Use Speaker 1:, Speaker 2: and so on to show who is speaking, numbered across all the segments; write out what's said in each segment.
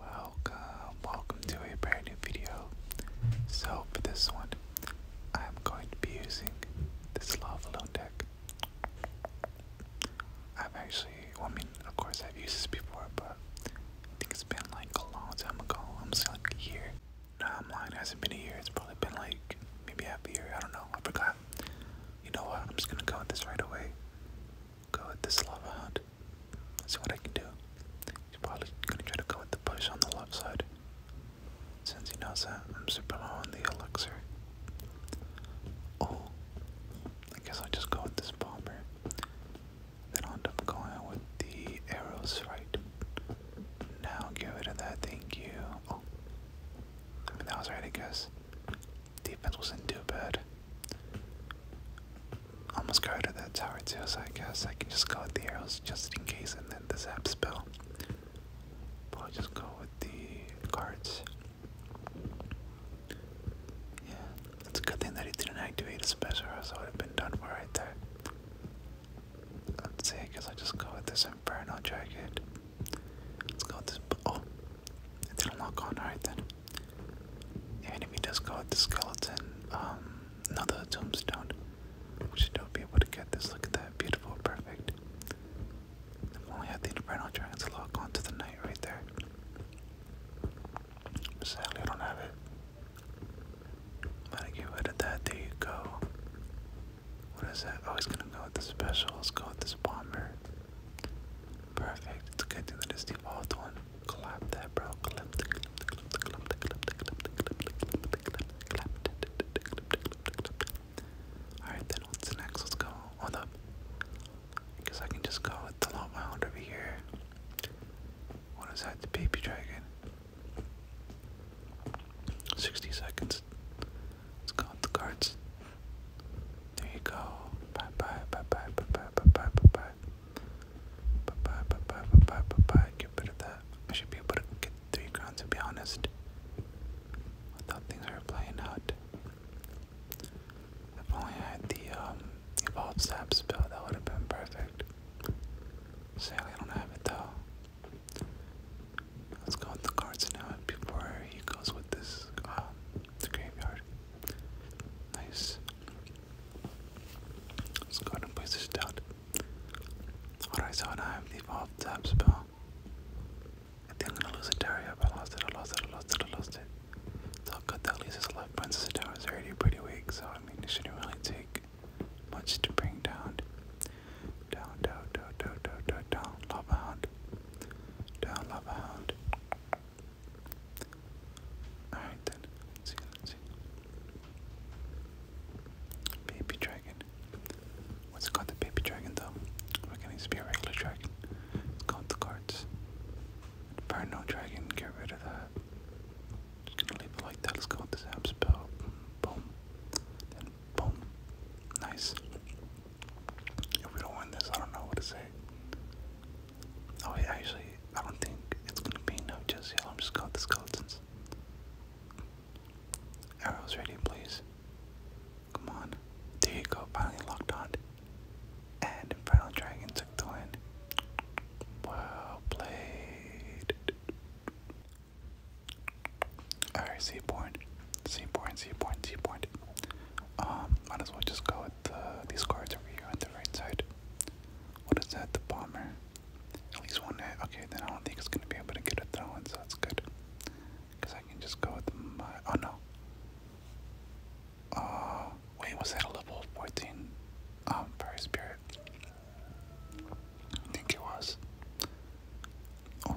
Speaker 1: Welcome, welcome to a brand new video. So for this one, I'm going to be using this lava loan deck. I've actually, I mean, of course I've used this before, but I think it's been like a long time ago. I'm just like a year. No, I'm lying. It hasn't been a year. It's probably been like maybe half a year. I don't know. I forgot. You know what? I'm just gonna go with this right away. Go with this lava hunt see what I can do. He's probably gonna try to go with the push on the left side. Since he knows that I'm super low on the elixir. Oh, I guess I'll just go with this bomber. Then I'll end up going with the arrows right. Now get rid of that, thank you. Oh, I mean, that was right, because Defense wasn't too bad. Almost go to that tower too, so I guess I can just go with the arrows just in case and then the zap spell. But just go with the cards. Yeah, it's a good thing that he didn't activate a special, or else would have been done for right there. Let's see, I i just go with this Inferno Jacket. Let's go with this. Oh, it didn't lock on, alright then. Even if he does go with the skeleton, um, another tombstone, we should still be able to get this. Look at that, beautiful, perfect. only had the Infernal Dragon's lock onto the knight right there. Sadly, I don't have it. I'm get rid of that. There you go. What is that? Oh, he's gonna go with the special. go with this bomber. Perfect. It's a good thing that it's the one. Clap that, bro. Clap Alright then what's next? Let's go. on up. I I can just go the lot mound over here. What is that? The baby dragon. 60 seconds. Let's go the cards. There you go. Bye bye bye bye bye bye bye bye bye bye. Bye bye bye bye bye Get rid of that. I should be able to get three crowns to be honest. I thought things were playing out. If only I had the evolved sap spell, that would have been perfect. Sadly I don't have it though. Let's go with the cards now before he goes with this the graveyard. Nice. Let's go and place this down. Alright, so now I have the evolved zap spell. I think I'm gonna lose a tower. Yep, I lost it, I lost it, I lost it, I lost it. It's all good that leaves us left. Princess of is already pretty weak, so I mean, it shouldn't really take much to bring down. Down, down, down, down, down, down, down, lava Down, lava hound. Alright then, see, see. Baby dragon. What's called the baby dragon though? We're gonna just be a regular dragon. It's called the cards. Inferno dragon, get rid of that. Just gonna leave it like that. Let's go with this spell. Boom. Then boom. Nice. If we don't win this, I don't know what to say. Oh, yeah, actually, I don't think it's gonna be enough just yet. I'm just got the skeletons. Arrows ready, please. Come on. There you go, finally locked on. And Infernal Dragon took the win. Well played. Alright, Seaborn. Seaborn, Seaborn, Seaborn. Um, might as well just go with the, these cards over here on the right side. What is that? The bomber. At least one Okay, then I don't think it's gonna be able to get a throw so that's good. Cause I can just go with my. Oh no. Uh, wait, was that a level 14? Um, Fire Spirit. I think it was.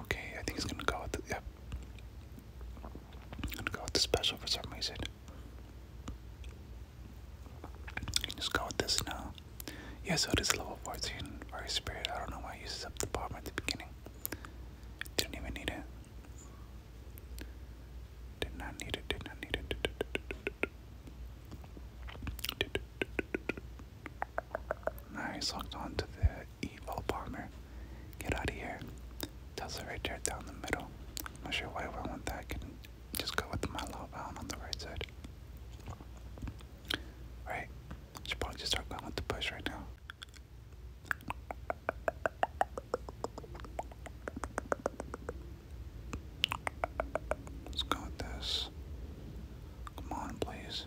Speaker 1: okay, I think it's gonna go with the. Yep. I'm gonna go with the special for some reason. You can just go with this now. Yeah, so it is level 14 Fire Spirit. I don't know why it uses up the bomb at the beginning. Didn't even need it. Did not need it, did not need it. Nice, locked on to the Evo Bomber. Get out of here. Tesla right there down the middle. I'm not sure why I want that. I can just go with my love out on the right side. Alright, should probably just start going with the push right now. Let's go with this. Come on, please.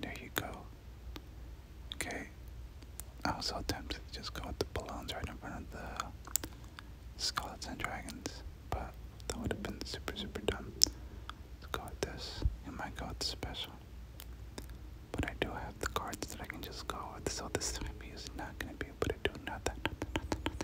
Speaker 1: There you go. Okay. I was so tempted to just go with the balloons right in front of the skeletons and dragons, but that would have been super, super dumb. Let's go with this. It might go special. But I do have the cards that I can just go with, so this time he is not going to be able to do nothing, nothing, nothing,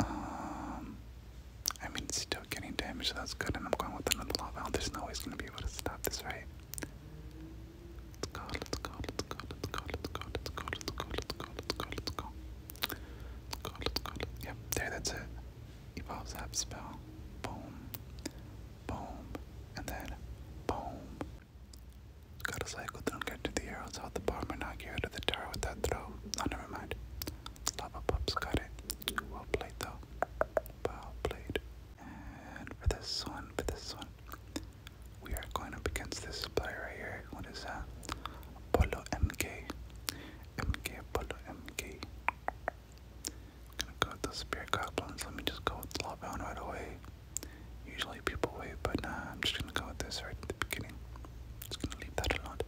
Speaker 1: I mean, it's still getting damage, so that's good. And I'm going with another law out. There's no way it's gonna be able to stop this, right? Let's go, let's go, let's go, let's Yep, there, that's it. Evolves that spell. Boom. Boom. And then boom. got a cycle Don't get to the arrows Hold the bar and not get out of the tower with that throw. Oh, never mind. Lava Pups got it. Well played though. Well played. And for this one, for this one, we are going up against this player right here. What is that? Polo MK. MK Polo MK. gonna go with the Spirit Goblins. Let me just go with Lawbound right away. Usually people wait, but nah, I'm just gonna go with this right at the beginning. Just gonna leave that alone.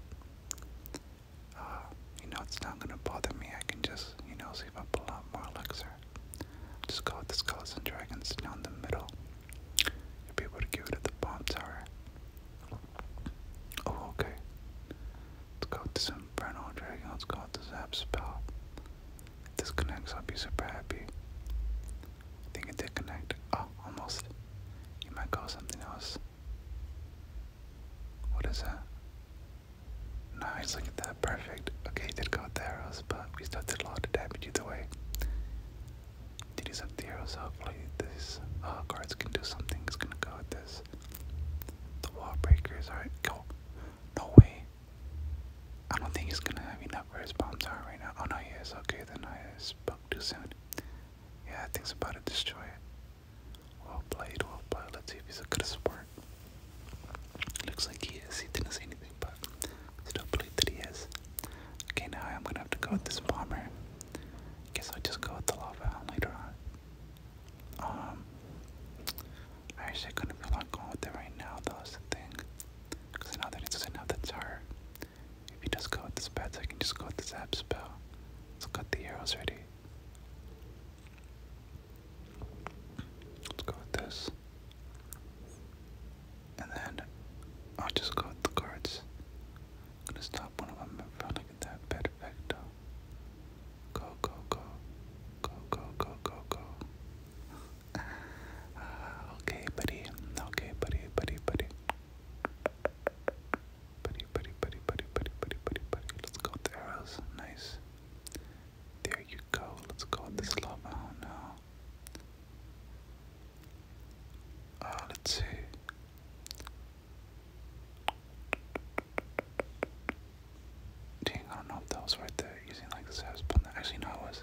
Speaker 1: Uh, you know, it's not gonna bother me. I can just, you know, see if I pull more elixir. Just go with the skulls and dragons down the middle. You'll be able to give it at the bomb tower. Oh, okay. Let's go with this infernal dragon. Let's go with the zap spell. If this connects, I'll be super happy. I think it did connect. Oh, almost. You might go something else. What is that? Nice, look at that, perfect. Okay, he did go with arrows, but he still did a lot of damage either way. Did use up the arrows, hopefully these uh, can do something. It's gonna go with this. The wall breakers, alright, go. No way. I don't think he's gonna have enough Where his bombs are right now. Oh no, he is. Okay, then I spoke too soon. Yeah, I think's about to destroy it. Well played, well played. Let's see if he's a good support. Looks like he is. He didn't say anything, but I still believe that he is. Okay, now I'm gonna have to go with this bomber. Guess I'll just go with the lava later on. Um, I actually couldn't feel like going with it right now, though, is the thing. Because I know that it doesn't have the tower. If he does go with this bats, I can just go with the zap spell. Let's cut the arrows ready. Let's go with this. And then I'll just go with the cards. I'm gonna stop one of them in front of that perfecto. Go, go, go. Go, go, go, go, go. Uh, okay, buddy. Okay, buddy, buddy, buddy. Buddy, buddy, buddy, buddy, buddy, buddy, buddy, buddy. Let's go with the arrows. Nice. There you go. Let's go with this lava. Oh no. Uh, let's see. Dang, I don't know if that was right there. Using like the saps, but actually, no, it wasn't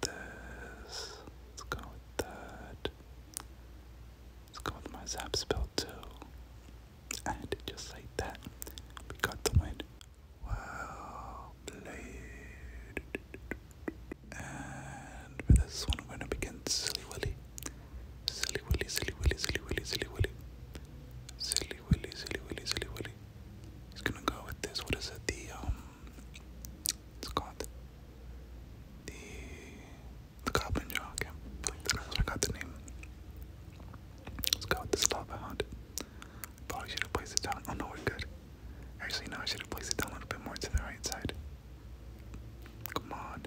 Speaker 1: this. Let's go with that. Let's go with my zap spell too. And just like that, we got the win. Well And for this one, we're gonna begin Silly Willy. Silly Willy, Silly Willy, Silly Willy, Silly Willy. Silly Willy, Silly Willy, Silly Willy. He's gonna go with this. What is it? The um it's called the the Goblin Jaw. I think the name. Let's go with this lava hound. Probably should have placed it down. Oh no, we're good. Actually, no, I should have placed it down a little bit more to the right side. Come on.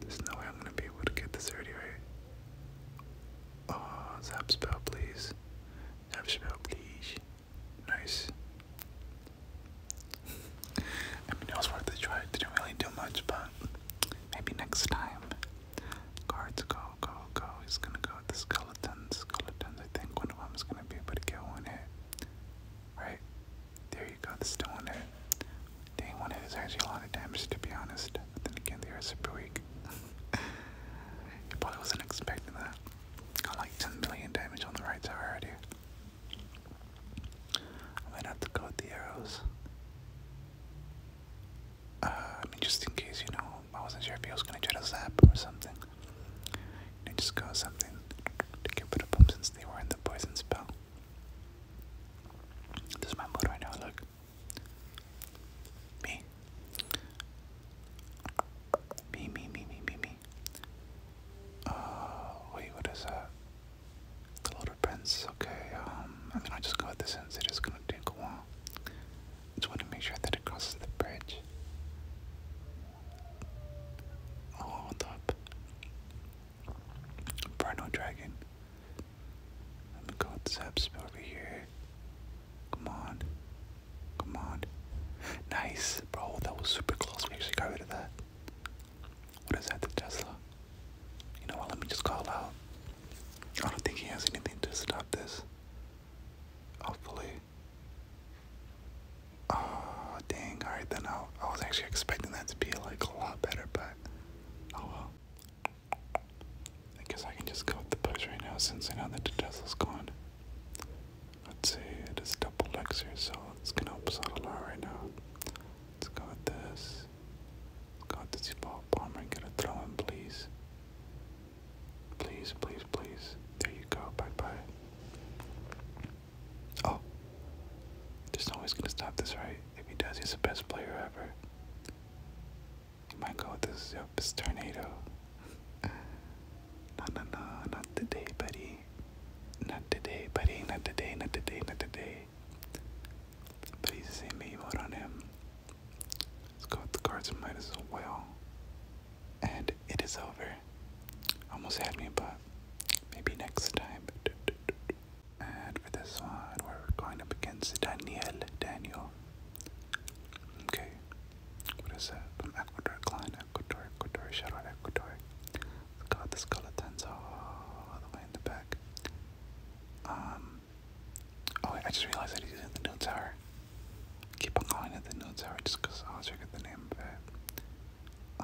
Speaker 1: There's no way I'm gonna be able to get this already right. Oh, zap spell, please. Zap spell, please. Nice. I mean, it was worth a try. didn't really do much, but maybe next time. Cards go, go, go. He's gonna go the skeletons. Skeletons, I think one of them is gonna be able to get one hit. Right? There you go, this is still one hit. Dang, one a lot of damage, to be honest. But then again, they are super weak. he probably wasn't expecting that. I like 10 million damage on the right tower already. I might have to go with the arrows. Uh, I mean, just in case, you know, I wasn't sure if he was gonna try to zap or something. And just go something to get rid of them since they were in the poison spell. This is my mode right now, look. Me me. Me, me, me, me, me, me. Uh, wait, what is that? The Loaded Prince, okay, um, I'm gonna just go with this since it is gonna take a Just want to make sure that it crosses the bridge. Oh, hold up. Inferno Dragon. Let me go with Zeps over here. Come on. Come on. Nice, bro. That was super close. We actually got rid of that. What is that, the Tesla? You know what? Let me just call out. I don't think he has anything to stop this. Hopefully. Oh, dang. Alright, then i was actually expecting that to be like a lot better, but oh well. I I can just go with the push right now since I know that the Tesla's gone. Let's see, it is double elixir, so it's gonna help us out a lot right now. It's got this. Let's go this ball bomber and get a throw in, please. Please, please, please. There you go. Bye bye. Oh. There's no way he's gonna stop this, right? If he does, he's the best player ever. Oh my god, this is your tornado. no, no, no, not today, buddy. Not today, buddy. Not today, not today, not today. Please see me vote on him. Let's go the cards might as well. And it is over. Almost had me, but maybe next time. And for this one, we're going up against Daniel Daniel. Okay. What is that? Ecuador, Klein, Ecuador, Ecuador, shout out Ecuador. Got the skeletons all the way in the back. Um. Oh, I just realized that he's using the new tower. keep on calling it the new tower just because I always forget the name of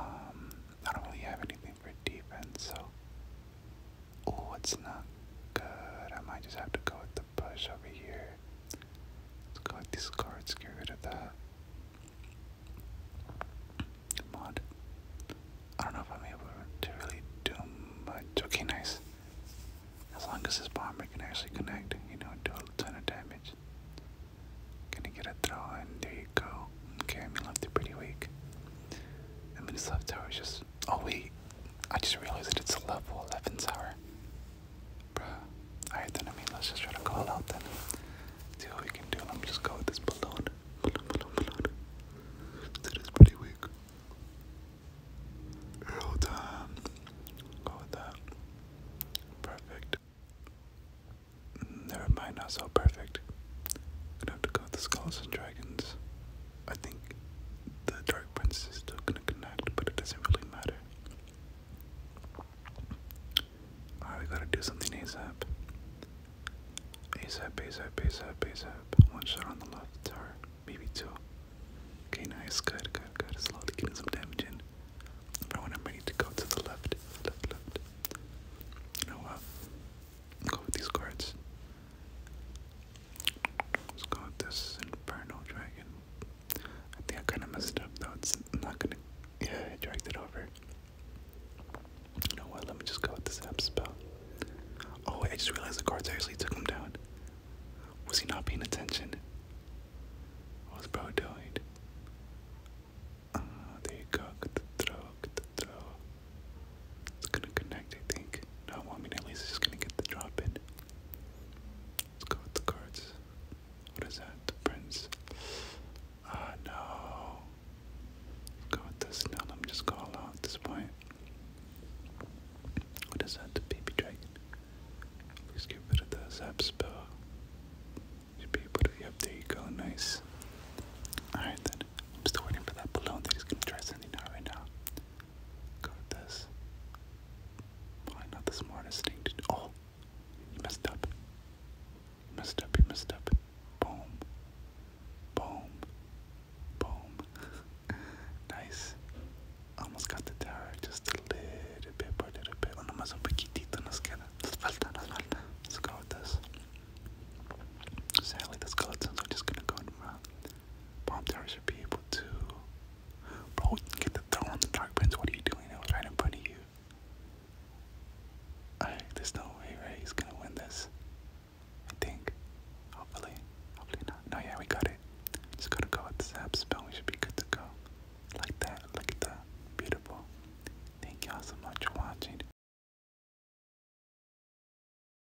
Speaker 1: Um, I don't really have anything for defense, so. Oh, it's not good. I might just have to go with the push over here. Let's collect these cards, get rid of that. Mod. I don't know if I'm able to really do much. Okay, nice. As long as this bomber can actually connect, you know, do a ton of damage. Gonna get a throw, and there you go. Okay, left pretty weak. I this left tower just Oh wait, I just realized that it's a level 11 tower. Alright then, I mean, let's just try to call out then. See what we can do. Let me just go with this balloon. Balloon, balloon, balloon. That is pretty weak. Real time. Go with that. Perfect. Never mind, not so perfect. Gonna have to go with the skulls and dragons. I think the Dark Prince is still gonna connect, but it doesn't really matter. Alright, gotta do something ASAP. ASAP, ASAP, ASAP, ASAP. One shot on the left, or maybe two. Okay, nice, good, good, good. Slowly getting some damage in. But when i ready to go to the left, left, left. You know what? go with these cards. Let's go with this Inferno Dragon. I think I kind of messed up though. It's not gonna. Yeah, I it over. You know what? Let me just go with this app spell. Oh, I just realized the cards actually took him down. Was he not paying attention? What was bro doing? Ah, uh, there you go. Good throw, It's gonna connect, I think. No, well, want me at least he's gonna get the drop in. Let's go with the cards. What is that? The prince. Ah, no. Let's go with this. Now let me just going all out at this point. What is that? The baby dragon. Please get rid of the zap spell. Should be able to. Yep, there you go. Nice. Alright then. I'm still waiting for that balloon that he's gonna try sending out right now. Got this. Probably not the smartest thing to do. Oh, you messed up. You messed up, you messed up. Boom. Boom. Boom. nice. Almost got the tower just a little bit by little bit. Bueno, más un poquitito nos queda. Nos falta, nos falta. Let's go with this. Sadly, the skeletons just gonna go in Bomb tower should be able to. Bro, get the throw on the dark pins. What are you doing? It was right in front of you. Alright, there's no way, right? He's gonna win this. I think. Hopefully. Hopefully not. No, yeah, we got it. Just gotta go with the zap spell. We should be good to go. Like that. Look at that. Beautiful. Thank y'all so much for watching.